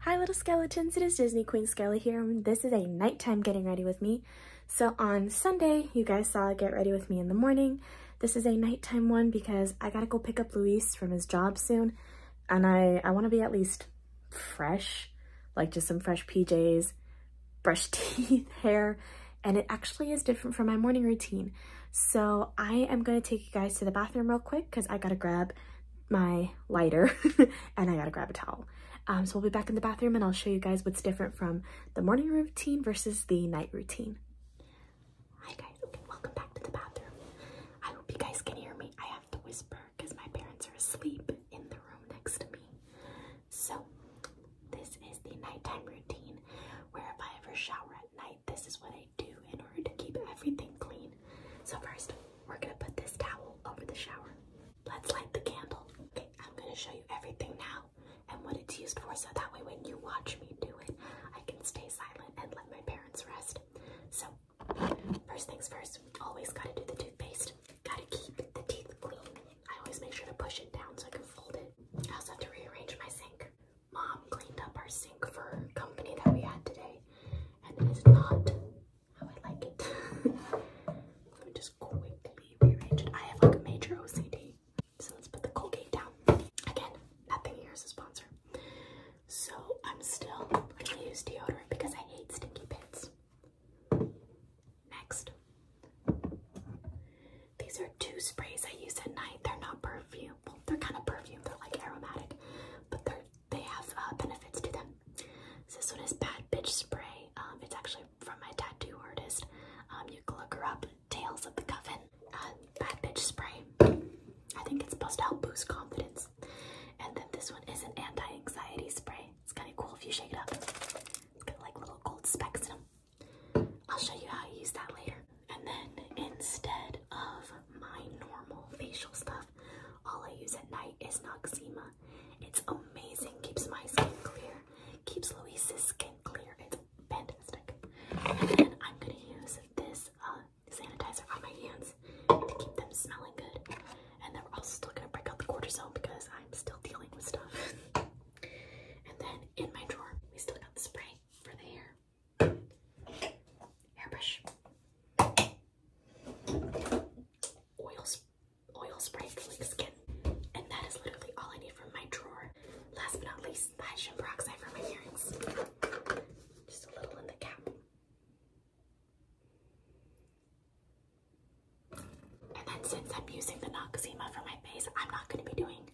Hi little skeletons, it is Disney Queen Skelly here and this is a nighttime getting ready with me. So on Sunday, you guys saw get ready with me in the morning. This is a nighttime one because I gotta go pick up Luis from his job soon and I, I wanna be at least fresh, like just some fresh PJs, brush teeth, hair, and it actually is different from my morning routine. So I am gonna take you guys to the bathroom real quick because I gotta grab my lighter and I gotta grab a towel. Um, so we'll be back in the bathroom and I'll show you guys what's different from the morning routine versus the night routine. Hi guys, okay, welcome back to the bathroom. I hope you guys can hear me. I have to whisper because my parents are asleep in the room next to me. So this is the nighttime routine where if I ever shower at night, this is what I do in order to keep everything clean. So first, we're gonna put this towel over the shower. Let's light the candle. Okay, I'm gonna show you everything now and what it's used for so that way when you watch me do it, I can stay silent and let my parents rest. So, first things first, always gotta do the toothpaste. Gotta keep the teeth clean. I always make sure to push it down so I can fold it. I also have to rearrange my sink. Mom cleaned up our sink for company that we had today and it's not how I like it. Let me just quickly rearrange it. I have like major OCD. So let's put the Colgate down. Again, nothing here is a sponsor. So I'm still gonna use deodorant because I hate stinky pits. Next. These are two sprays I use at night. They're not perfume. they're kind of perfume. They're like aromatic, but they're they have uh, benefits to them. this one is Bad Bitch Spray. Um, it's actually from my tattoo artist. Um, you can look her up, Tales of the Coven. Uh, bad Bitch Spray. I think it's supposed to help boost confidence. And then this one is an anti-anxiety spray. It's kind of cool if you shake it up. It's got like little gold specks in them. I'll show you how I use that later. And then instead of my normal facial stuff. All I use at night is Noxema. It's amazing, keeps my skin clear, keeps Louise's skin clear. It's fantastic. And then I'm gonna use this uh, sanitizer on my hands to keep them smelling good. And then we're also still gonna break out the cortisone because I'm still dealing with stuff. and then in my drawer, we still got the spray for the hair. Hairbrush. Oil, oil spray to like skin. And that is literally all I need from my drawer. Last but not least, hydrogen peroxide for my earrings. Just a little in the cap. And then since I'm using the Noxzema for my face, I'm not going to be doing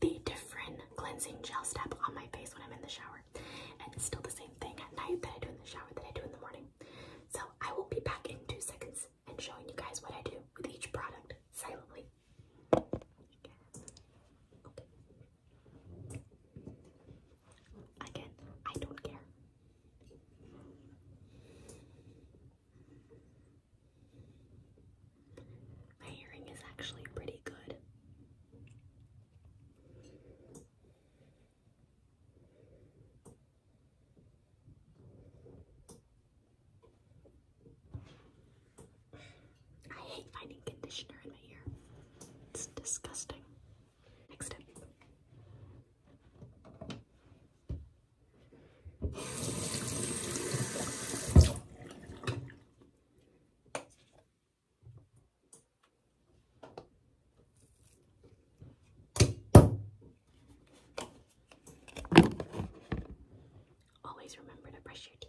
the different cleansing gel step on my face when I'm in the shower. And it's still the same thing at night that I do in the shower that I do in the morning. So I will be back in two seconds and showing you guys what I do with each product silently. Again, I don't care. My hearing is actually pretty good. I hate finding conditioner in my ear. It's disgusting. Next step. Always remember to brush your teeth.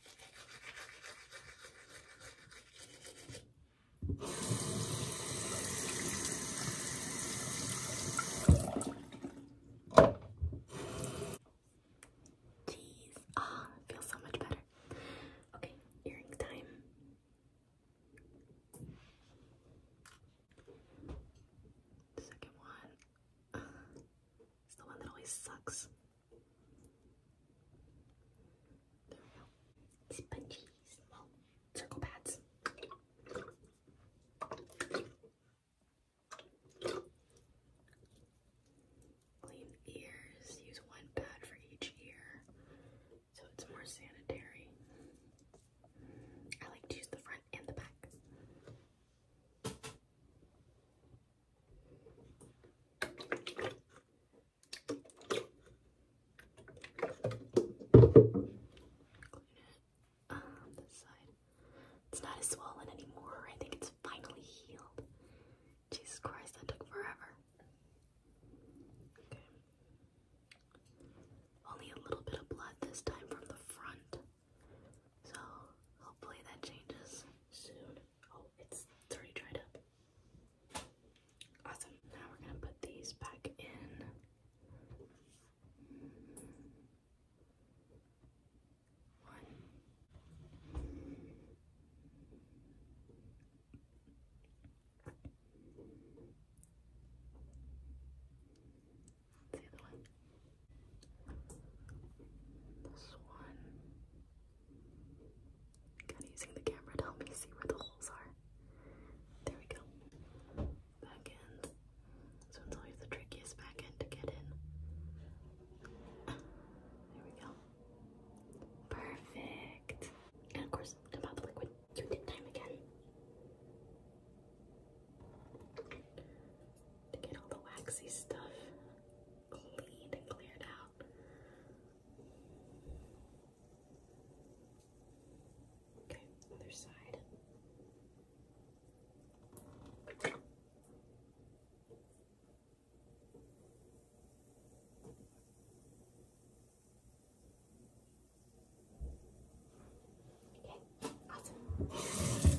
Jeez, ah, feels so much better. Okay, earring time. second one uh, the one that always sucks they circle pads. Clean ears. Use one pad for each ear so it's more sanitary. I like to use the front and the back. It's not as swollen anymore. I think it's finally healed. Jesus Christ, that took forever. Okay. Only a little bit of blood this time from the front. So hopefully that changes soon. Oh, it's, it's already dried up. Awesome. Now we're gonna put these back in. One. the other one. This one. Kind of using the camera to help me see where the holes are. There we go. Back end. This one's always the trickiest back end to get in. There we go. Perfect. And of course, about the liquid. Through dip time again. To get all the waxy stuff cleaned and cleared out. Okay, other side. Okay, awesome.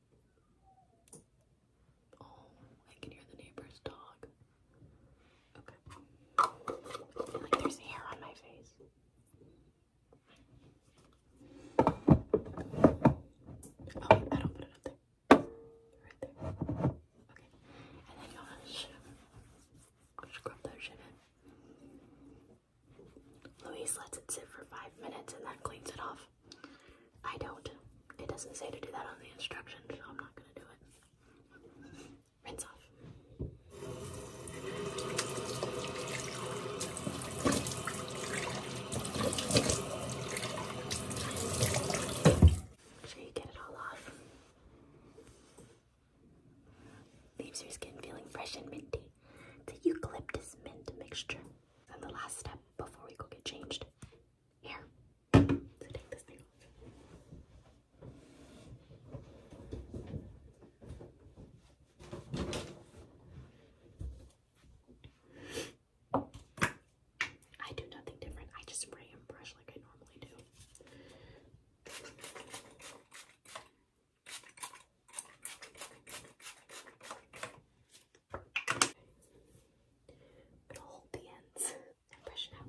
Oh, I can hear the neighbor's dog. Okay. I feel like there's hair on my face. Oh, wait, I up there. Right there. Okay. And then you want to Scrub that shit in. Louise lets it sit for five minutes and then cleans it off. I don't. It doesn't say to do that on the instructions, so I'm not going to do it. Rinse off. Make sure you get it all off. Leaves your skin feeling fresh and minty. The eucalyptus mint mixture. And the last step before we go get changed here. I do nothing different. I just spray and brush like I normally do. I'm gonna hold the ends and brush it out.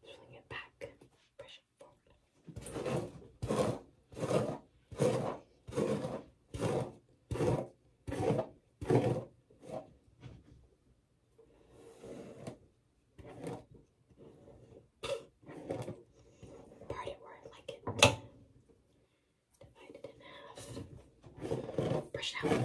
Swing it back, press it forward. Part it where I like it. Divide it in half. Brush it out.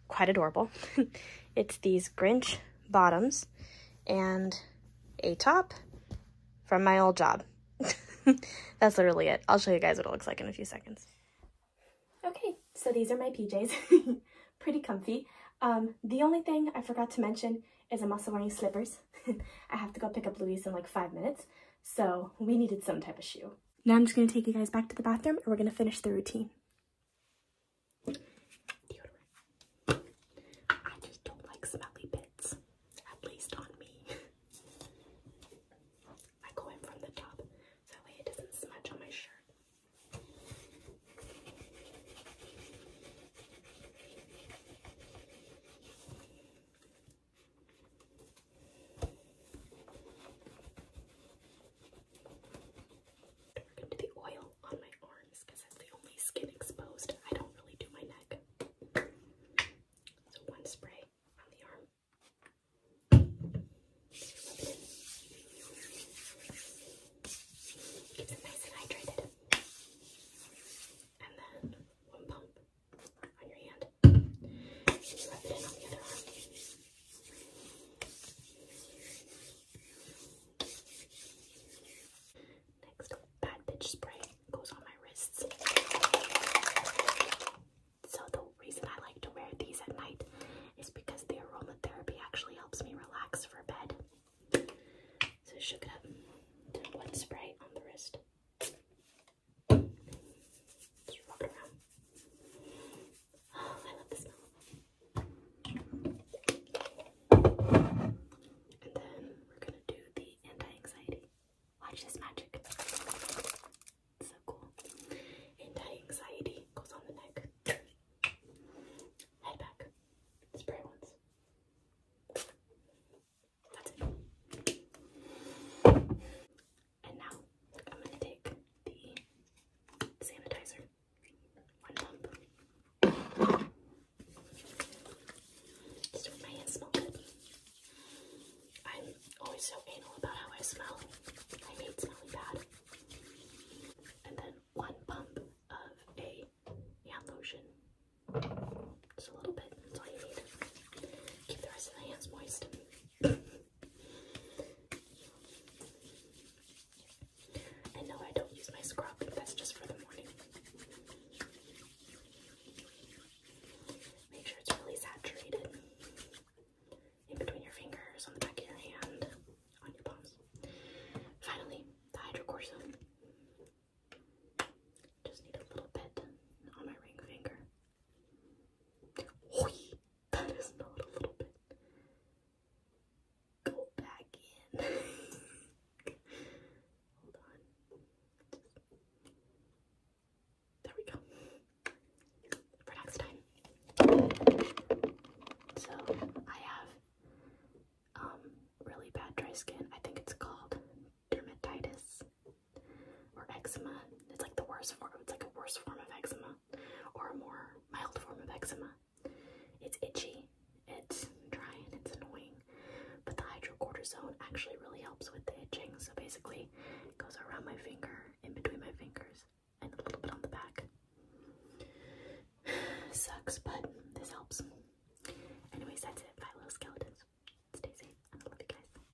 quite adorable. it's these Grinch bottoms and a top from my old job. That's literally it. I'll show you guys what it looks like in a few seconds. Okay, so these are my PJs. Pretty comfy. Um, the only thing I forgot to mention is I'm also wearing slippers. I have to go pick up Louise in like five minutes, so we needed some type of shoe. Now I'm just going to take you guys back to the bathroom and we're going to finish the routine. I just don't like smelly bits, at least on me. I go in from the top, that way it doesn't smudge on my shirt. We're the oil on my arms because that's the only skin exposed. I don't really do my neck. So one spray on the arm. Just it nice and hydrated. And then one pump on your hand. Next, bad spray goes on my wrists. So the reason I like to wear these at night is because the aromatherapy actually helps me relax for bed. So I it up, did one spray on the wrist we're gonna do the anti-anxiety. Watch this magic. so cool. Anti-anxiety goes on the neck. Head back. Spray once. That's it. And now I'm going to take the sanitizer. One pump. Just make my hands smell good. I'm always so anal about how I smell. I hate smelling bad. And then one pump of a hand lotion. Just a little bit. That's all you need. Keep the rest of the hands moist. And no, I don't use my scrub, that's just for the morning. Make sure it's really saturated in between your fingers, on the back of your hand, on your palms. Finally, the hydrocortisone. Just need a little bit on my ring finger. Oi, that is not a little bit. Go back in. Hold on. There we go. For next time. So I have um really bad dry skin. I think it's called dermatitis or eczema. It's like the worst form. It's like a worse form of eczema, or a more mild form of eczema. It's itchy, it's dry, and it's annoying. But the hydrocortisone actually really helps with the itching. So basically, it goes around my finger, in between my fingers, and a little bit on the back. Sucks, but this helps. Anyway, that's it. Bye, little skeletons. Stay safe, and I love you guys.